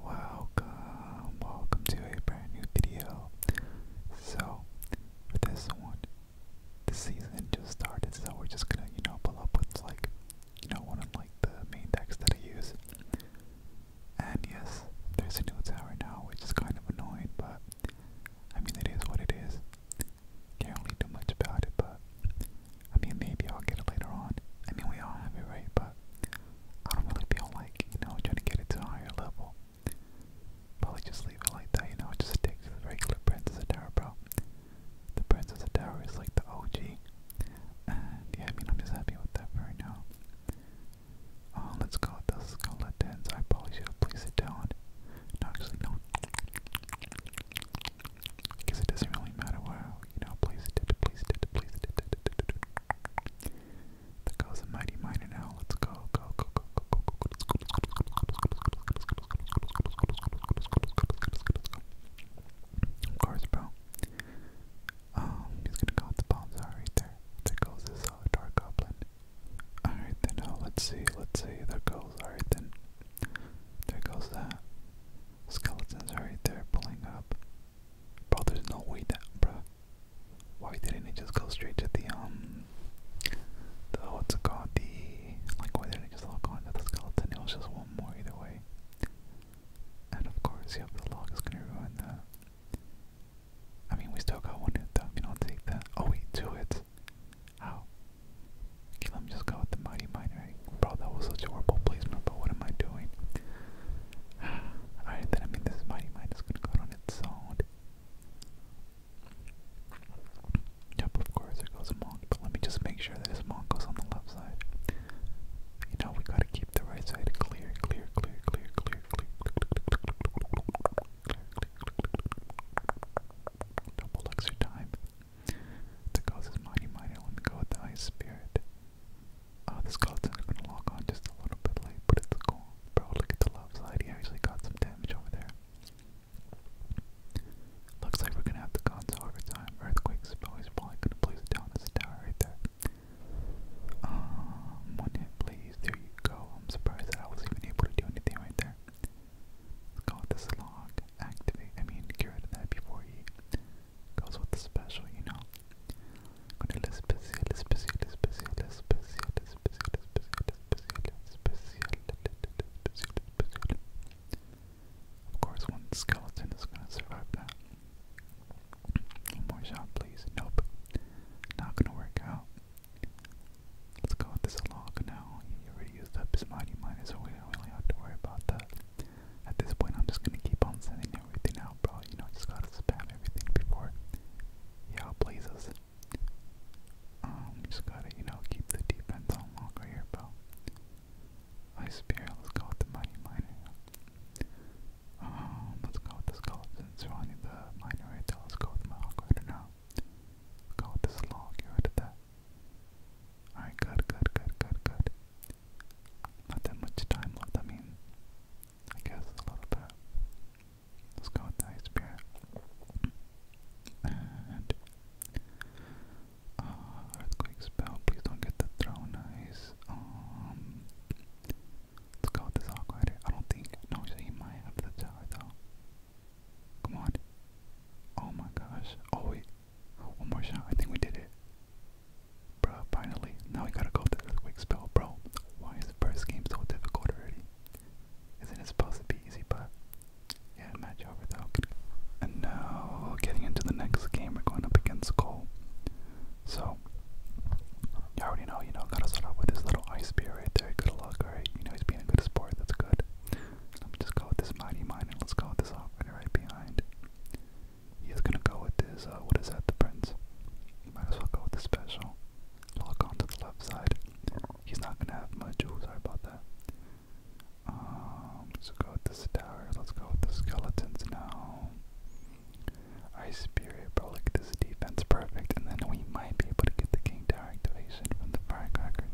Welcome, welcome to a brand new video. So, for this one, the season just started, so we're just gonna, you know, pull up with like, you know, one of like the main decks that I use. And yes, there's a new tower now, which is kind of annoying, but I mean, it is what it is. Can't really do much about it, but I mean, maybe I'll get it later on. I mean, we all have it, right? But I don't really feel like, you know, trying to get it to a higher level. Probably just leave it like that, you know, just stick to the regular Princess of Tower, bro. The Princess of the Tower is like the OG. And yeah, I mean, I'm just happy with that for right now. Uh, let's go with the skeletons. I probably should have placed it down. No, actually, no. Because it doesn't really matter where you know, please did, please did, please did. There goes a mighty miner now. Let's go, go, go, go, go, go, go, let's go, let's go, let's go, let's go, let's go. Of course, bro. Um, he's gonna go with the bombs are right there. There goes this uh, dark goblin. Alright then, oh, let's see, let's see, there goes, alright then. There goes that. Skeletons are right there pulling up. Bro, there's no way that, bro. Why didn't it just go straight to the, um, the, what's it called? The, like, why didn't it just lock onto the skeleton? It was just one more either way. And of course, yep, the log is gonna ruin that. I mean, we still got one hit You know, i take that. Oh, wait, two hits. How? let me just go with the Mighty Miner bro, that was such a horrible placement, but what am I doing? Alright, then I mean, this Mighty Mine is gonna go on its own. Yep, of course, it goes a but let me just make sure that his Monk goes on the left side. You know, we gotta keep the right side clear, clear, clear, clear, clear, clear, clear, clear, clear. Double extra time. That goes his Mighty Miner, let me go with the Ice Spirit. Uh, this skeleton is gonna log on just a little bit late, but it's cool. Bro, look at the left side. He actually got some damage over there. Looks like we're gonna have the console over time. Earthquake spell is probably gonna place it down as tower right there. Um, one hit, please. There you go. I'm surprised that I was even able to do anything right there. Let's go with Activate. I mean, get rid of that before he goes with the special, you know. Con el especial, especial, especial, especial, especial, especial, especial, especial, especial, especial. Of course, one skeleton is gonna survive that. One more shot, please. Nope. Not gonna work out. Let's go with this log now. He already used up his mighty minus, so we do have to worry about that. At this point, I'm just gonna keep on sending everything out, bro. You know, just gotta spam everything before he outplays us. Um, just gotta, you know, keep the defense on longer here, bro. I Spear, let's go with the Mighty Miner. Um, let's go with the skeleton surrounding the miner right there. Let's go with the Mahawk right now. go with the Slog, get rid that. Alright, good, good, good, good, good. Not that much time left, I mean, I guess a little bit. Let's go with the Ice Spirit. And, uh, Earthquake Spell, please don't get the Throne Ice. Um, let's go with this Aqua Rider. I don't think, no, so he might have the tower though. Come on. Oh my gosh. Oh wait, Oh, one more shot. I think we did it. Bruh, finally. Now we gotta go through this earthquake spell, bro. Why is the first game so difficult already? Isn't it supposed to be easy, bro? yeah, match over though. And now, getting into the next game, we're going up against Cole. So, you already know, you know, gotta start off with this little ice spear right there. Good luck, alright? You know, he's being a good sport, that's good. Let me just go with this Mighty Mine and let's go with this operator right behind. He's gonna go with this. Uh, what is that, the Prince? Might as well go with the special. Lock onto the left side. He's not gonna have much. sorry about that. Um, let's go with this tower. Let's go with the skeletons now. Ice Spirit, bro. Look at this defense. Perfect. And then we might be able to get the King Tower activation from the Firecracker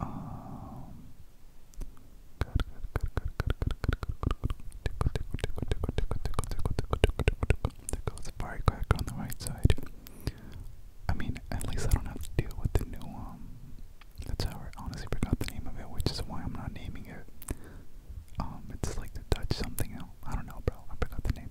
Um, good, good, good, good, on the right side. I mean, at least I don't have to deal with the new, um, that's how I honestly forgot the name of it, which is why I'm not naming it. Um, it's like the Dutch something else. I don't know, bro. I forgot the name.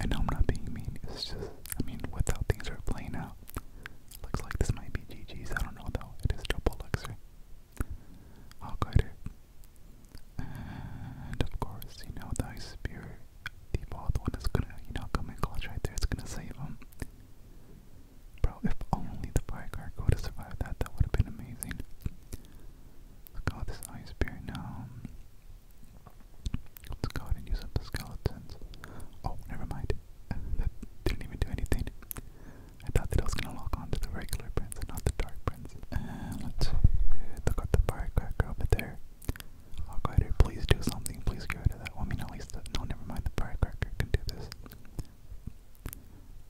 And no, I'm not being mean. It's just, I mean, with how things are playing out, looks like this might be GG's. I don't know though. It is double elixir. I'll And of course, you know, the ice spear, the bald one is gonna, you know, come in clutch right there. It's gonna save him. Bro, if only the firecracker would have survived that, that would have been amazing. Look this ice spear now. Let's go ahead and use up the skeletons. Oh, never mind. didn't even do anything. I thought that I was gonna lock on the regular prints and not the dark prints. And let's see. Look at the firecracker over there. I'll oh, please do something. Please get rid of that. Well, I least the, uh, no, never mind. The firecracker can do this.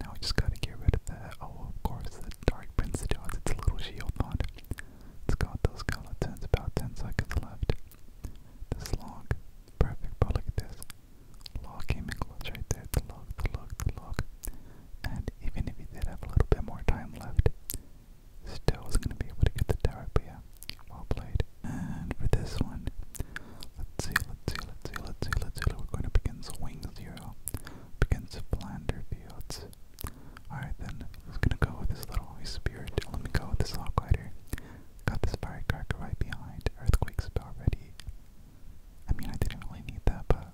Now we just gotta get rid of that. Oh, of course, the dark prints do It's a little shield mod. It's got those skeletons, about 10 seconds left. This log, perfect, but look at this. Log came in close right there, the log, the log, the log. And even if he did have a little bit more time left, still wasn't going to be able to get the tower, but yeah, well played. And for this one, let's see, let's see, let's see, let's see, let's see. We're going up against Wing Zero, against Flander Fields. Alright then, I was gonna go with this little Holy Spirit. Let me go with this Hawk Glider. Got this firecracker right behind. Earthquakes spell ready. I mean, I didn't really need that, but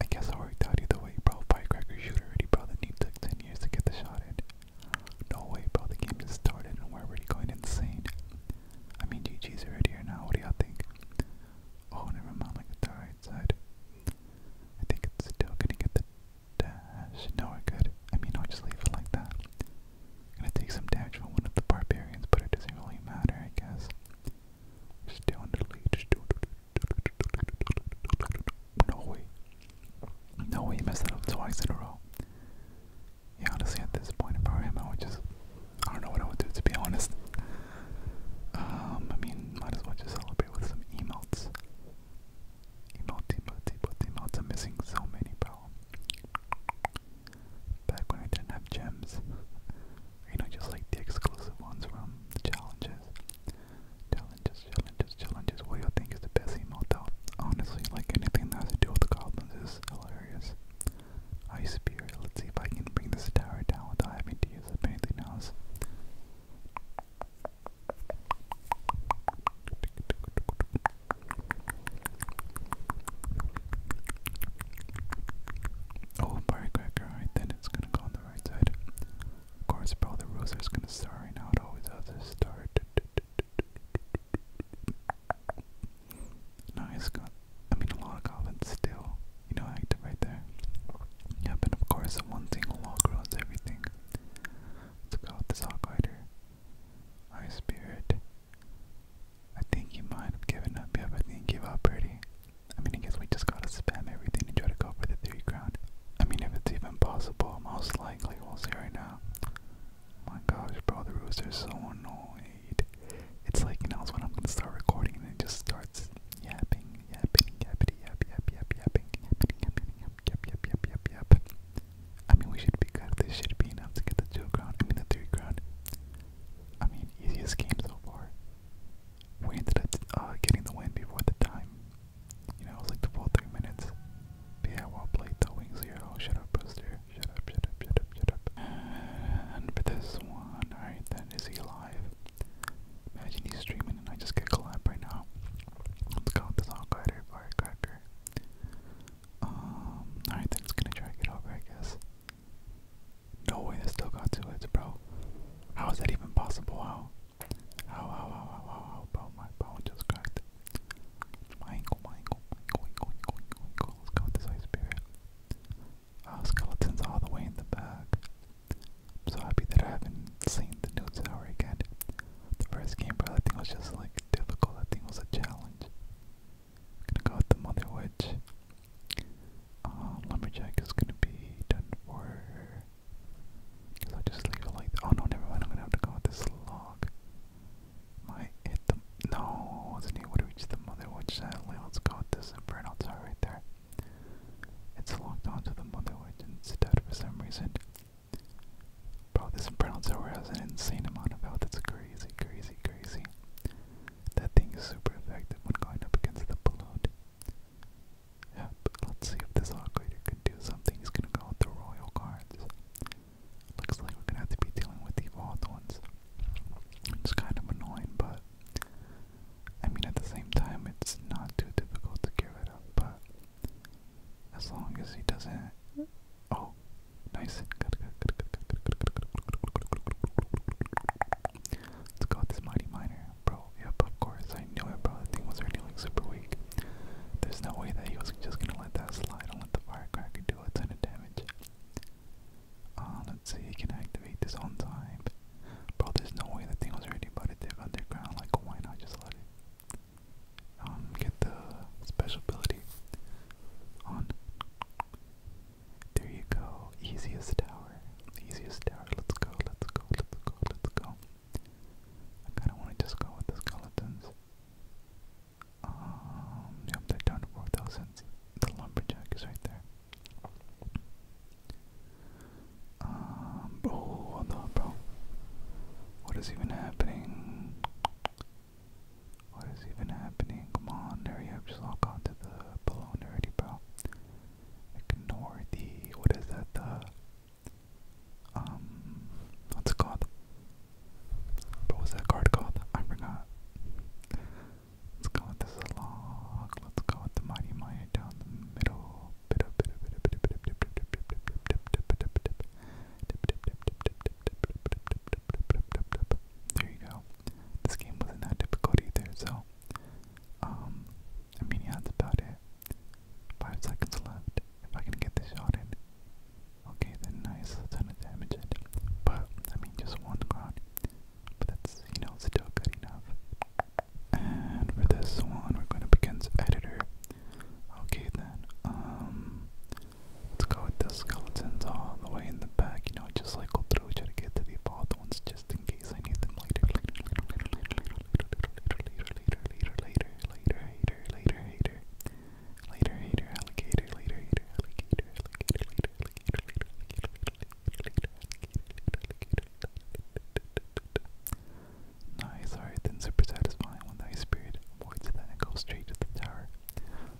I guess I worked out either way, bro. Firecracker shoot already, bro. The game took 10 years to get the shot in. No way, bro. The game just started and we're already going insane. I mean, GG's already here now. What do y'all think? Oh, never mind. Look at the right side. I think it's still gonna get the dash. No, I could. I mean, i just leave it like that. I'm gonna take some damage from one of the barbarians, but it doesn't really matter, I guess. still in the lead. No way. No way, you messed that up twice in a row. Yeah, honestly, at this point, if I were him, I would just. I don't know what I would do, to be honest. Um, I mean, might as well just celebrate with some emotes. Emote, emote, emote, emotes. I'm missing so many, bro. Back when I didn't have gems. You know, just like the exclusive ones from the challenges. Challenges, challenges, challenges. What do you think is the best emote though? Honestly, like anything that has to do with the goblins is hilarious. Ice Spirit, let's see if I can bring this tower down without having to Oh, firecracker, alright then, it's gonna go on the right side. Of course, bro, the rooster's gonna start right always has to start. Nice, got I mean, a lot of comments still, you know, active right there. Yep, and of course, one single log ruins everything. Let's go with this Hawkrider. High Spirit. I think you might have given up. Yep, I think he gave up pretty. I mean, I guess we just gotta spam everything and try to go for the three ground. I mean, if it's even possible, most likely we'll see right now. Oh my gosh, bro, the rooster's so annoyed. It's like, you know, it's when I'm gonna start recording and it just starts Yapping, yapping, yappity, yap, yap, yap, yapping, yapping, yapping, yap, yap, yap, yap, yap, yap. I mean, we should be good. This should be enough to get the two crown. I mean, the three crown. I mean, easiest game so far. We ended up uh, getting the win before the time. You know, it was like the full three minutes. But yeah, well played the wings here. Oh, shut up, Booster. Shut up, shut up, shut up, shut up. And for this one, alright then is he alive? Imagine he's streaming and I just get collab right now. Let's go this All-Glider Firecracker. Um, alright then, it's gonna drag it over, I guess. No way, that still got two hits, bro. How is that even possible? How? How, how, how, how, how, how, bro? My bone just cracked. My ankle, my ankle, my ankle, ankle, ankle, ankle, Let's go this Ice Spirit. Our uh, skeletons all the way in the back. I'm so happy that I haven't seen the new tower yet. The first game, bro, I think was just like difficult. I think it was a challenge. I'm gonna go with the Mother Witch. Uh, Lumberjack is gonna be done Cause just leave like. Oh no, never mind. I'm gonna have to go with this log. Might hit the. No, I wasn't able to reach the Mother Witch sadly. Let's go with this as the burnouts right there. It's locked onto the motherboard instead for some reason. Bro, this Brown Tower has an insane amount of health. It's crazy, crazy, crazy. That thing is super effective when going up against the balloon. Yeah, but let's see if this operator can do something. He's gonna go with the royal cards. Looks like we're gonna have to be dealing with the evolved ones. It's kind of annoying, but I mean, at the same time, it's not too difficult to get rid of, but as long as he doesn't. Oh, nice. Good, good, good, good, good, good, good, good. Let's go with this Mighty Miner. Bro, yep, of course. I knew it, bro. That thing was already like super weak. There's no way that he was just gonna let that slide and let the firecracker do a ton of damage. Uh, let's see, he can activate this on time. Bro, there's no way the thing was already about to dig underground. Like, why not just let it um, get the special ability on? There you go. Easiest tower. Easiest tower. Let's go, let's go, let's go, let's go. I kind of want to just go with the skeletons. Um, yep, down to 4,000. The lumberjack is right there. Um, oh, hold on, bro. What is even happening? What is even happening? Come on, hurry up, just log on the balloon already, bro. Ignore the, what is that, the, um, what's it called? What was that card called? I forgot. Let's go with this log. Let's go with the mighty Maya down the middle. There you go. This game wasn't that difficult either, so I mean that's about it. Five seconds left. If I can get this shot in. Okay then nice, ton of damage But I mean just one round but that's, you know, still good enough. And for this one, we're going to begin to editor. Okay then, let's go with the skeletons all the way in the back, you know, just like go through, try to get to the evolved ones just in case I need them later, later, alligator, alligator, alligator, alligator, alligator. Nice, alright, then super satisfying when the ice spirit avoids that and goes straight to the tower.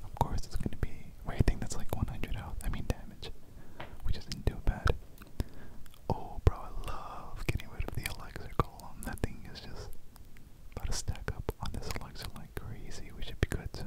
Of course, it's gonna be. Wait, I think that's like 100 health, I mean damage, We just did not too bad. Oh, bro, I love getting rid of the elixir golem. That thing is just about to stack up on this elixir like crazy, We should be good, so.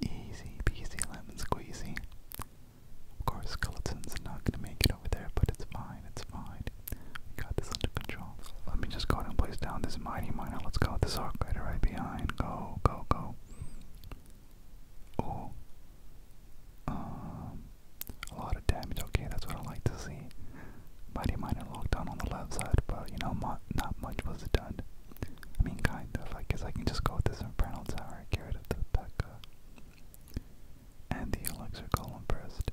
Easy peasy lemon squeezy. Of course, Skeleton's not gonna make it over there, but it's fine, it's fine. We got this under control. Let me just go and place down this mighty miner. Let's go this arc rider right behind. Go, go, go. Oh. Um, a lot of damage. Okay, that's what I like to see. Mighty Miner locked down on the left side, but you know, not much was done. I mean, kind of. I guess I can just go with this Infernal Tower, get rid of the Pekka. And the Elixir Golem Burst.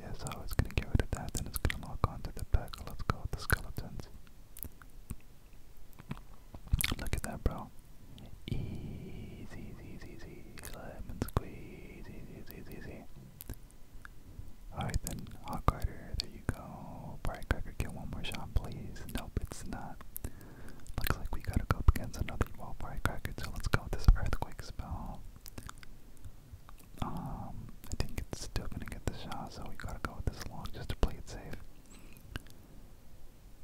Yeah, so it's gonna get rid of that, then it's gonna lock onto the Pekka. Let's go with the Skeletons. Look at that, bro. Easy, easy, easy, easy. Lemon squeeze, easy, easy, easy, easy. Alright then, Hawk Rider, you go. Bright get one more shot, please. Nope, it's not. Looks like we gotta go against another evil Bright so let's go this Earthquake spell. Um, I think it's still gonna get the shot, so we gotta go with this long just to play it safe.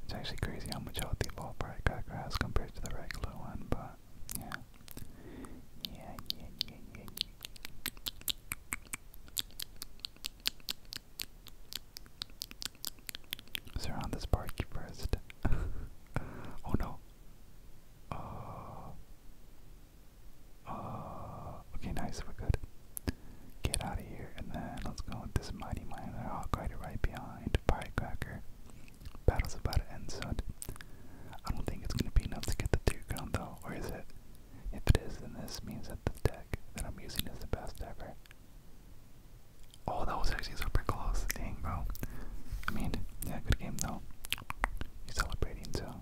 It's actually crazy how much health the Evolved Bright Cracker has compared to the regular one, but yeah, yeah, yeah, yeah. Surround this party first. oh no. Uh, uh, okay, nice, we're good. Get out of here, and then let's go with this mighty miner I'll guide it right behind. Firecracker. Battle's about to end soon. I don't think it's gonna be enough to get the two ground though, or is it? If it is, then this means that the deck that I'm using is the best ever. Oh, that was actually super close. thing, bro. I mean, yeah, good game, though. He's celebrating, so.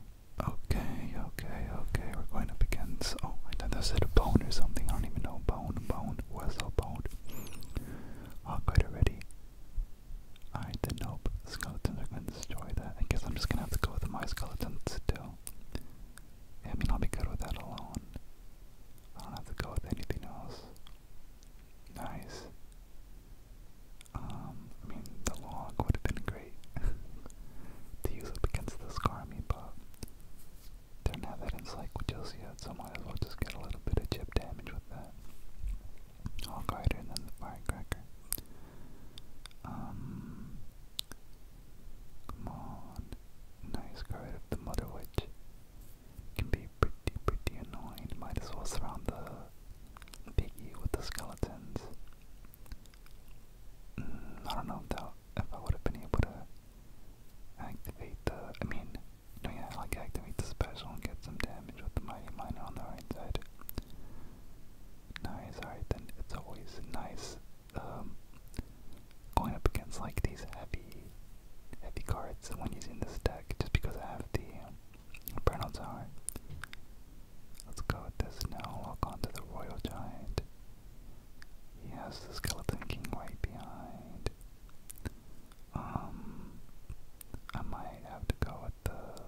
Okay, okay, okay. We're going up against. Oh, I thought that bone or something. I don't even know. Bone, bone, whistle, bone. Oh, quite already. Alright, then nope. Skeletons are going to destroy that. I guess I'm just gonna have to go with my skeletons still. I mean, I'll be good with that alone. I don't have to go with anything else. Nice. Um, I mean, the log would have been great to use up against this Garmy, but didn't have that in Psych with Josie yet, so might as well just get a little bit of chip damage with that. Hog Rider and the Firecracker. Um, Come on. Nice card of the Mother Witch. Can be pretty, pretty annoying. Might as well surround the piggy with the skeletons. Mm, I don't know if if I would have been able to activate the. I mean, no, yeah, like activate the special and get some damage with the mighty miner on the right side nice. Alright, then it's always nice um, going up against like these heavy, heavy cards when using this deck, just because I have the um, Bernal Tower. Let's go with this now. Lock onto the Royal Giant. He has the Skeleton King right behind. Um, I might have to go with the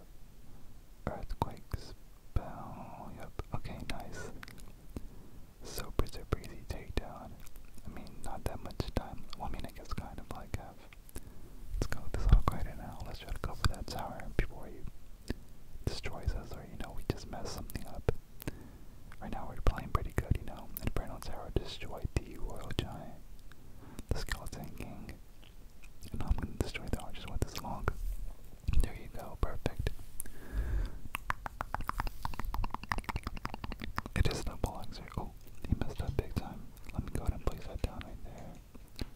Earthquakes. spell. Yep. Okay, nice. Super, super easy takedown. I mean, not that much time. Well, I mean, I guess kind of like Let's go this hawk right now. Let's try to go for that tower before he destroys us or, you know, we just mess something up. Right now, we're playing pretty good, you know. Inferno Tower destroyed the Royal Giant, the Skeleton King. Now I'm going to destroy the arches with this log. There you go, perfect. It is an elixir. Oh, he messed up big time. Let me go ahead and place that down right there.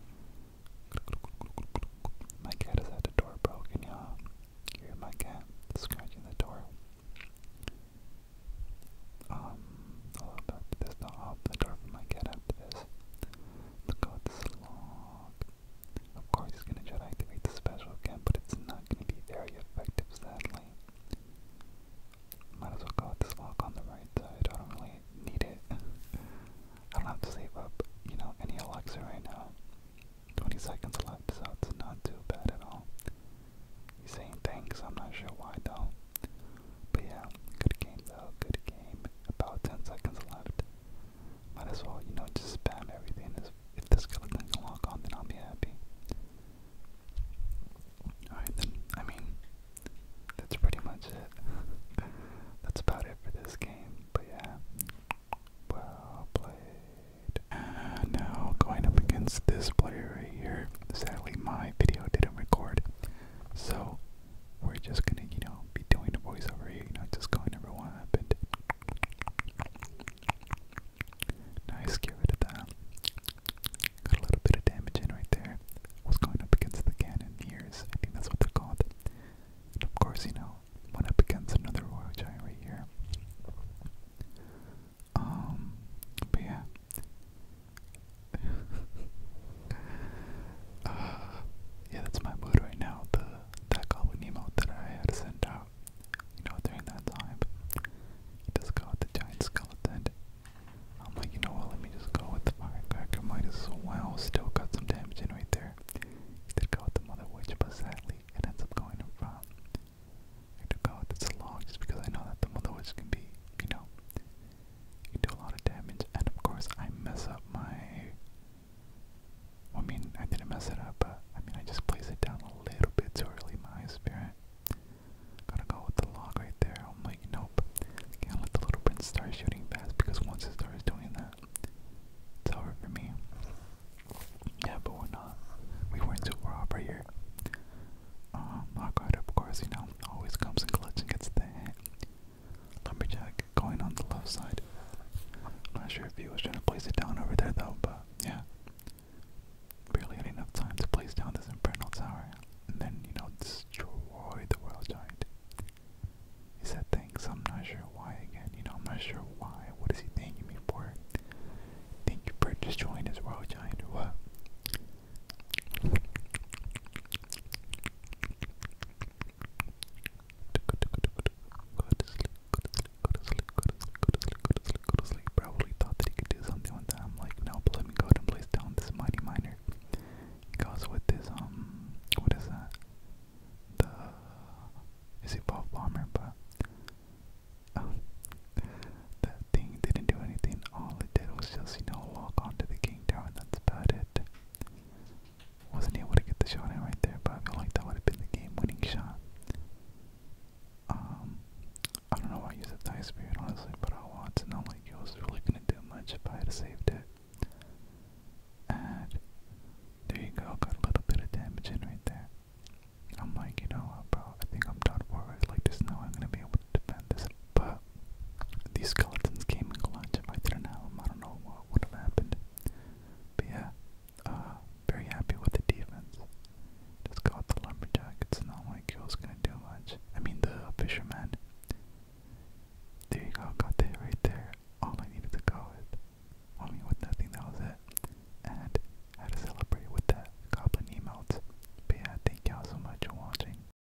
My cat is at the door broken, y'all. Hear my cat scratching the door. Um, oh, I'll open the door for my cat after this. Look out this log. Of course he's gonna try to activate the special again, but it's not gonna be very effective sadly. Might as well go with this walk on the right side, I don't really need it. I don't have to save up, you know, any elixir right now. 20 seconds left, so it's not too bad at all. He's saying thanks, I'm not sure why though. But yeah, good game though, good game. About 10 seconds left. Might as well, you know, just spam everything. If the skeleton can lock on, then I'll be happy. Alright, then, I mean, that's pretty much it. that's about it for this game, but yeah. Well played. Uh, now, going up against this player right here, sadly, my video didn't record. So, we're just gonna, you know, be doing the voiceover here, you know, just going over what But Nice, get rid of that. Got a little bit of damage in right there. Was going up against the cannoneers, I think that's what they're called. And of course, you know, went up against another royal giant right here. Um, but yeah. Uh, yeah, that's my mood right now. The that goblin emote that I had sent out, you know, during that time. He just got the giant skeleton. I'm like, you know what? Let me just go with the firecracker. Might as well. Still got some damage in right there. did go with the mother but sadly, it ends up going in front. I had to go with the long just because I know that the mother can be, you know, you do a lot of damage, and of course I mess up my. I mean, I didn't mess it up, but I mean, I just place it down a little bit too early, my spirit. Gotta go with the log right there. I'm like, nope. Can't let the little prince start shooting past because once it starts doing that, it's over for me. Yeah, but we're not. We weren't too far off right here. Um, Lockhart, of course, you know, always comes in clutch and gets the hit. Lumberjack going on the left side. not sure if he was trying to place it down over there though, but yeah. Barely had enough time to place down this Infernal Tower and then, you know, destroy the World Giant. He said thanks, I'm not sure why again, you know, I'm not sure why. What is he thanking me for? Thank you for destroying his World Giant or what? to sleep, go to thought that he could do something with that. like, no, but let me go and place down this mighty miner. He with this, um, what is that? The, is it Bob Bomber? But, oh, that thing didn't do anything. All it did was just, you know, walk onto the king tower. and That's about it. Wasn't able to get the shot in right there, but I feel like that would have been the game-winning shot. Um, I don't know why I used the die spear honestly, but I want to know, like, it was really gonna do much if I had saved it. And there you go, got a little bit of damage in right there. I'm like, you know what, bro, I think I'm done for it. Like, there's no I'm gonna be able to defend this but these skeletons came in clutch. If I didn't have them, I don't know what would have happened. But yeah, uh, very happy with the defense. Just got the lumberjack. It's not like it gonna do much. I mean, the fisherman. There you go, got that right there. All I needed to go with. I mean, with nothing, that was it. And had to celebrate with that goblin emotes. But yeah, thank y'all so much for watching.